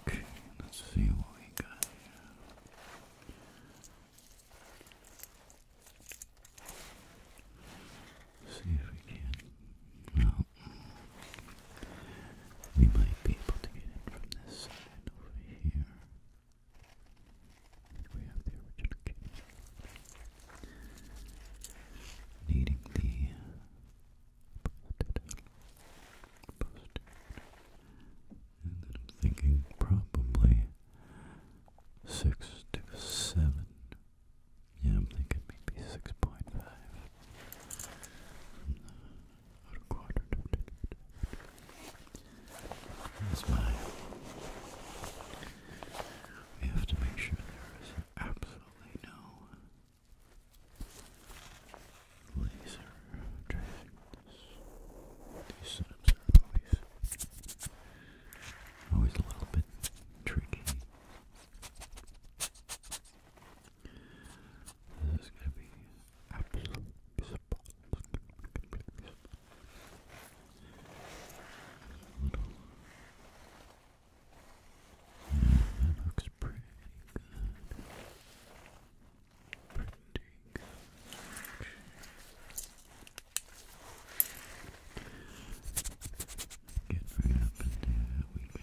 Okay, let's see what we got See if we can. Well, we might be able to get in from this side over here. We have the original case. Needing the I'm thinking probably six to seven. Yeah, I'm thinking maybe six point five. That's why we have to make sure there is absolutely totally no laser tracings. These setups are always, always a little bit tricky. This is gonna be absolutely spot. That looks pretty good. Pretty good. Get right up in there, we can.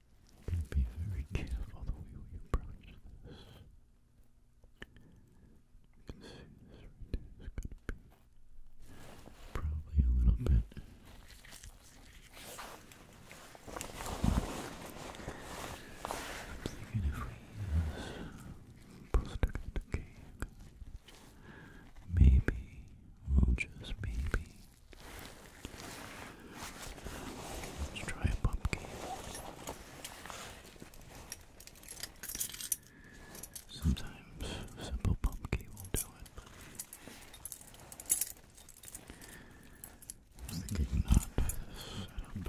and be very careful the way we approach this. You can see this right there is going to be probably a little bit I'm thinking if we use poster the cake, maybe, well just maybe, Let's try a pumpkin. Sometimes simple pumpkin will do it, I was thinking not this setup.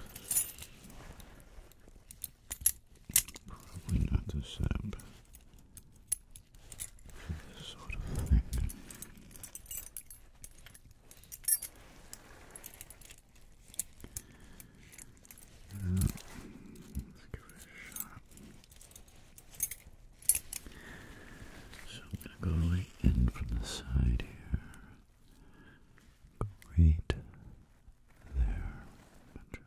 Probably not the setup for this sort of thing let's give it a shot. So I'm going to go in from the side here. Go right there.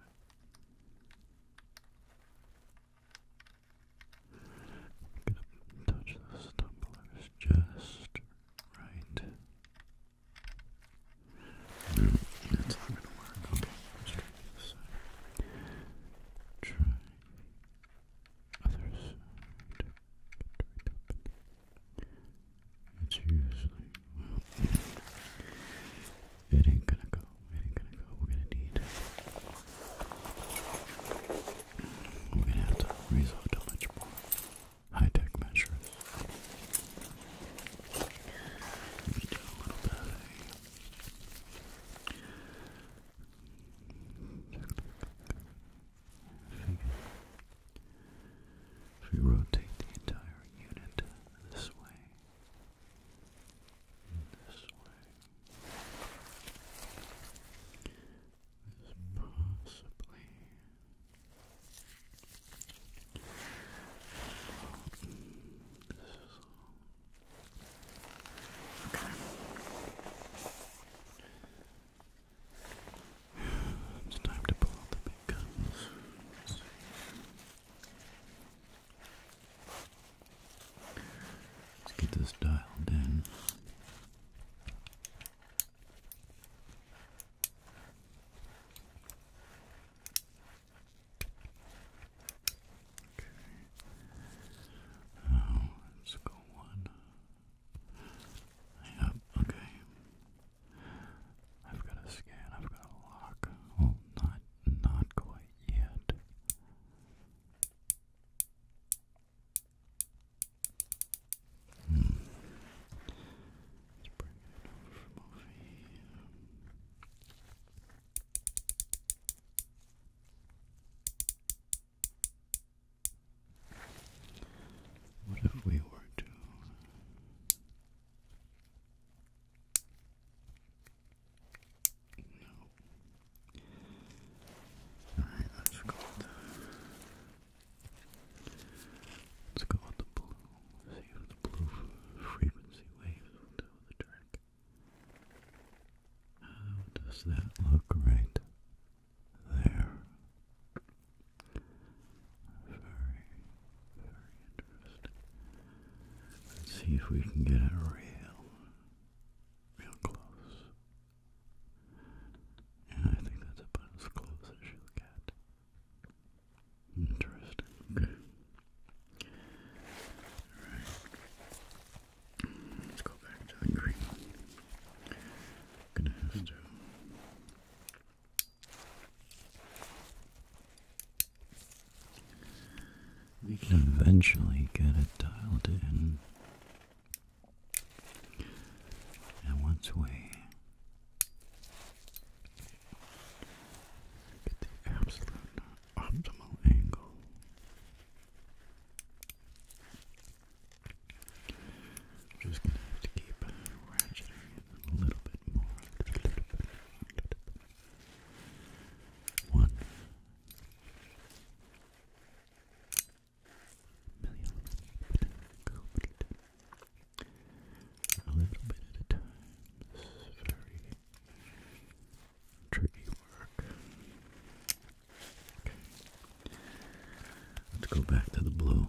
touch those tumblers just right. No, that's not gonna work. Okay, try this It's usually It ain't gonna go. It ain't gonna go. We're gonna need we're gonna have to resort to much more high-tech measures. If we rotate the entire unit this way, this way, is possibly It's time to pull out the big guns. Let's get this dialed in. Okay. Now let's go one. Yep, okay. I've got a scan, I've got a lock. Well not not quite yet. Hmm. let What if we were to let's go with the blue. See if the blue frequency waves will the trick. How does that look right there? Very, very interesting. Let's see if we can get it real, real close. Yeah, I think that's about as close as you'll get. Interesting. Alright. Let's go back to the green. gonna have to we can eventually get it dialed in. And once we get the absolute optimal angle, I'm just gonna have to keep ratcheting it a little bit more. One, million completed. A little bit at a time. very tricky work. Let's go back to the blue.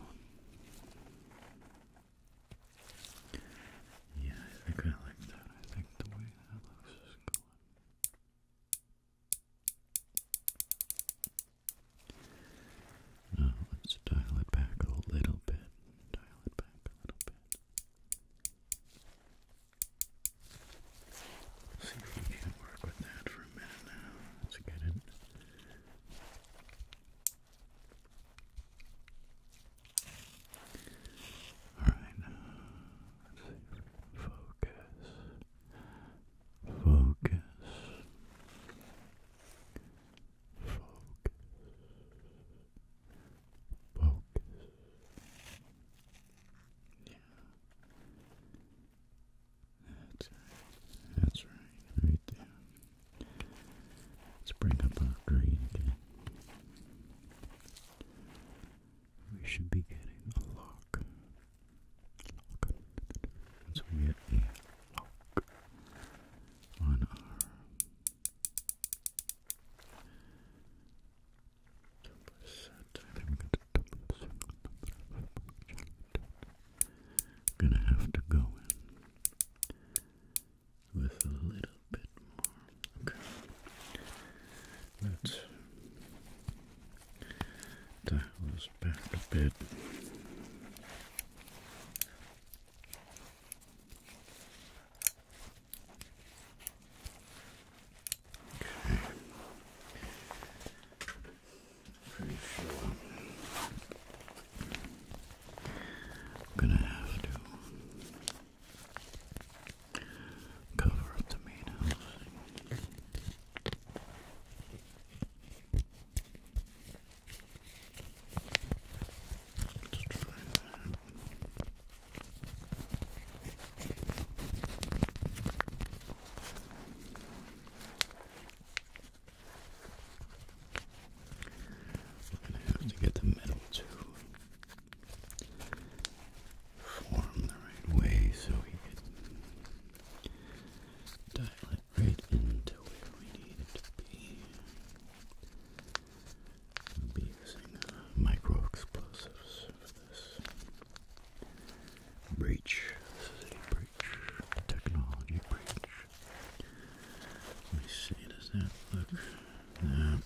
Yeah, I kinda like that. I think the way that looks is going. Now uh, let's dial it back a little bit. Dial it back a little bit. See if we can work with that for a minute now. Let's get it. Alright, uh, focus, focus, focus, focus. Yeah. That's That's right. Right there. Let's bring up our green again we should be getting a lock. lock. So we get a lock on our double set. Then we got the double set. gonna have to go in with a little little bit more. Okay. Let's dial this back a bit. Okay. Pretty sure I'm gonna have to Cover up the main house. gonna have to get the metal too form the right way so we could dial it right into where we need it to be. be using uh, micro explosives for Breach. This is a breach. Technology breach. Let me see, does that now,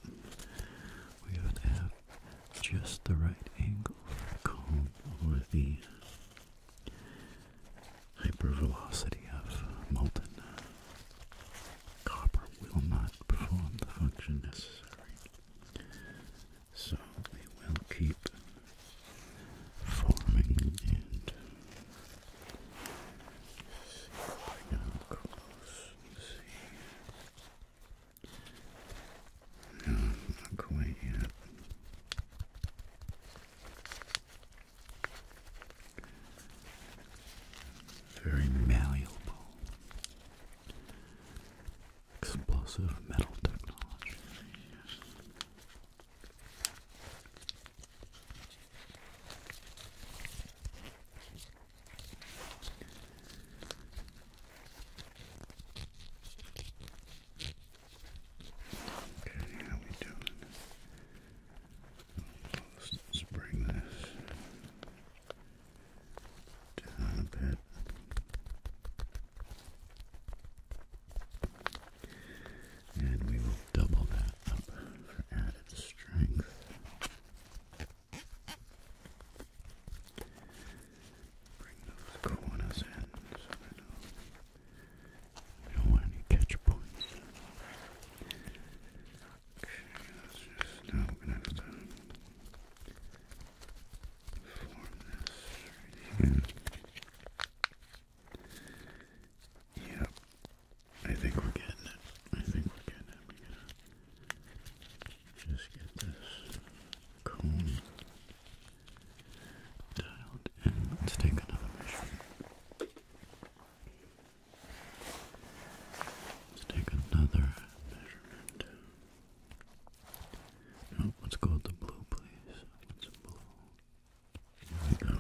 would have just the right angle for the hypervelocity of molten copper will not perform the function necessary. So we will keep forming and see come close. No, not quite yet. Very malleable. Explosive metal technology. Okay, how we doing? Let's bring this a bit. And we will double that up for added strength. Bring those corners in so they don't, any catch points. Okay, just, now going to have form this Yep, I think we're getting it. I think we're getting it. We're gonna just get this cone dialed in. Let's take another measure. Let's take another measurement. No, oh, let's go with the blue, please. Let's blue. There we go.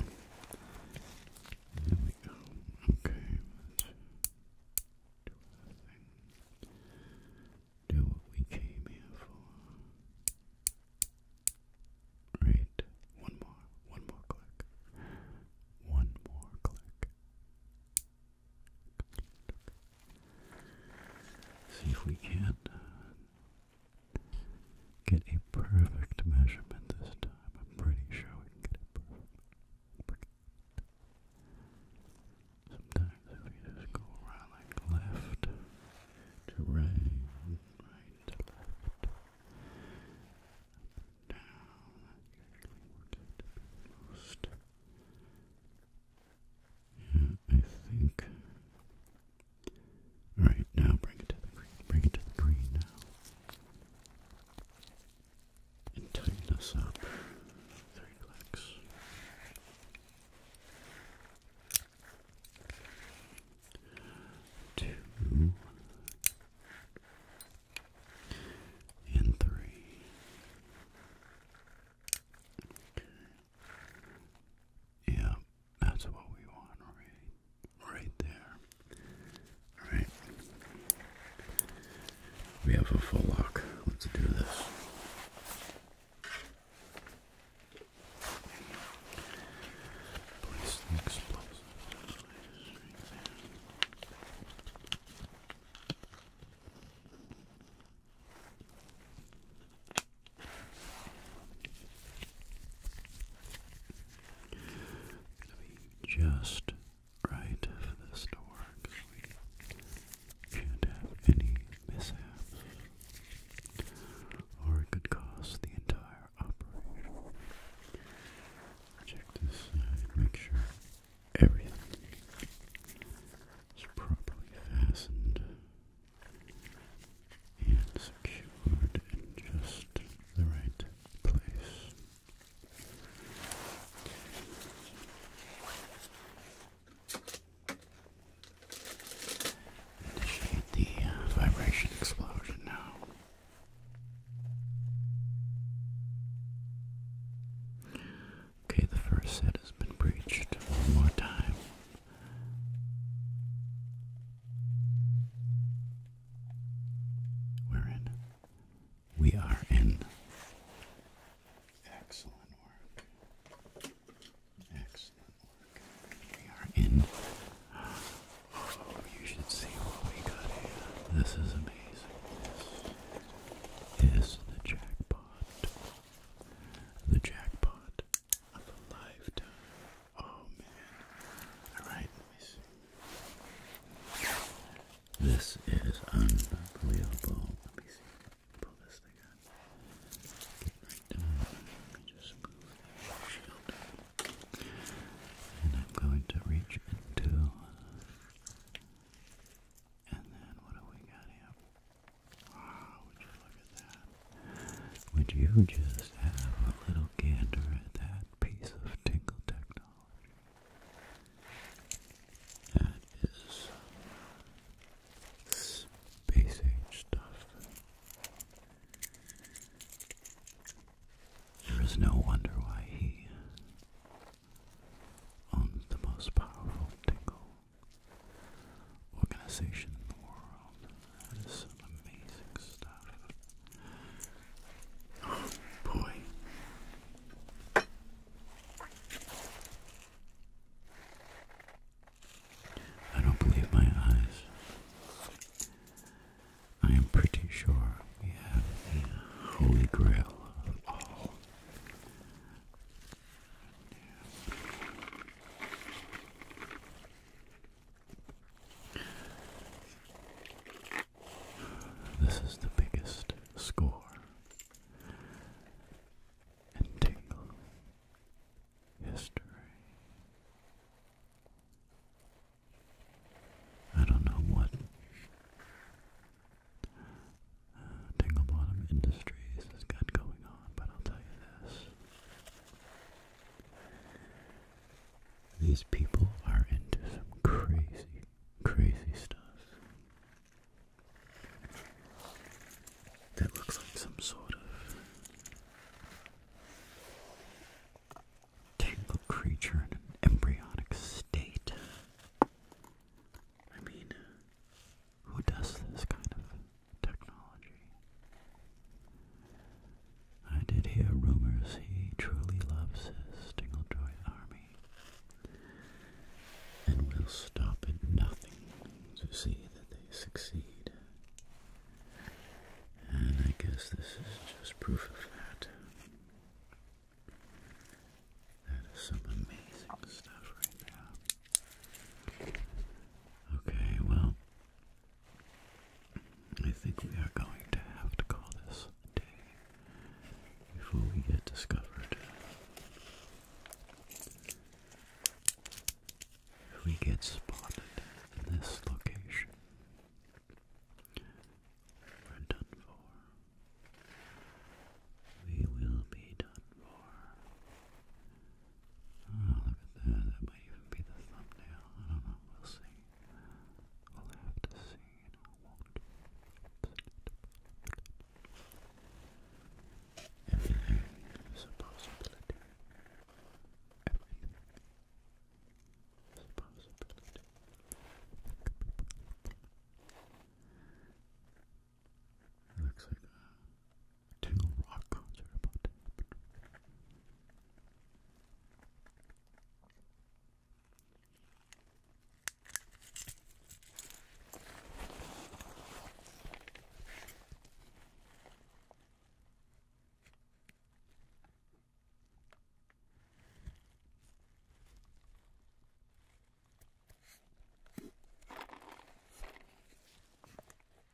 There we go. Okay, do our thing. Do what we came here for. Right. One more. One more click. One more click. See if we can uh, get a perfect measurement this time. I'm pretty sure we can get it Sometimes if you just go around like left to right, right to left, down, most. Yeah, I think. Alright, now bring it to the green. Bring it to the green now and tighten us up. Very Two and three. Yeah, that's what we want, right? right there. Alright. We have a full lock. Let's do this. Place the gonna be just right for this to work, can't have any mishaps, or it could cost the entire operation. Check this side, make sure everything is properly fastened and secured in just the right Initiate the uh, vibration explosion now. Okay, the first set has been breached one more time. We're in. We are in. Excellent work. Excellent work. We are in. Oh, you should see what we got here. This is amazing. This is the jackpot. The jackpot of a lifetime. Oh man. Alright, let me see. This is unbelievable. Let me see. Pull this thing out. Get right down. just move shield. And I'm going to reach uh, into. And then what do we got here? Wow, look at that? Would you just have a little gander at that piece of tingle technology? That is space age stuff. There is no wonder why he owns the most powerful tingle organization in the world. That is some amazing stuff. boy. I don't believe my eyes. I am pretty sure we have the holy grail of all. This is the biggest score, and tingle history. I don't know what uh, Tingle Bottom Industries has got going on, but I'll tell you this. These people are into some crazy, crazy stuff. That looks like some sort of tangled creature in an embryonic state. I mean, who does this kind of technology. I did hear rumors he truly loves his Stinglejoy army and will stop at nothing to see that they succeed. And I guess this is just proof of that. That is some amazing stuff right now. Okay, well, I think we are going to have to call this day before we get discovered. If we get spotted in this location, we're done for. We will be done for. Oh, look at that. That might even be the thumbnail. I don't know. We'll see. We'll have to see. You possibility. Everything possibility. looks like uh, techno rock concert about to happen.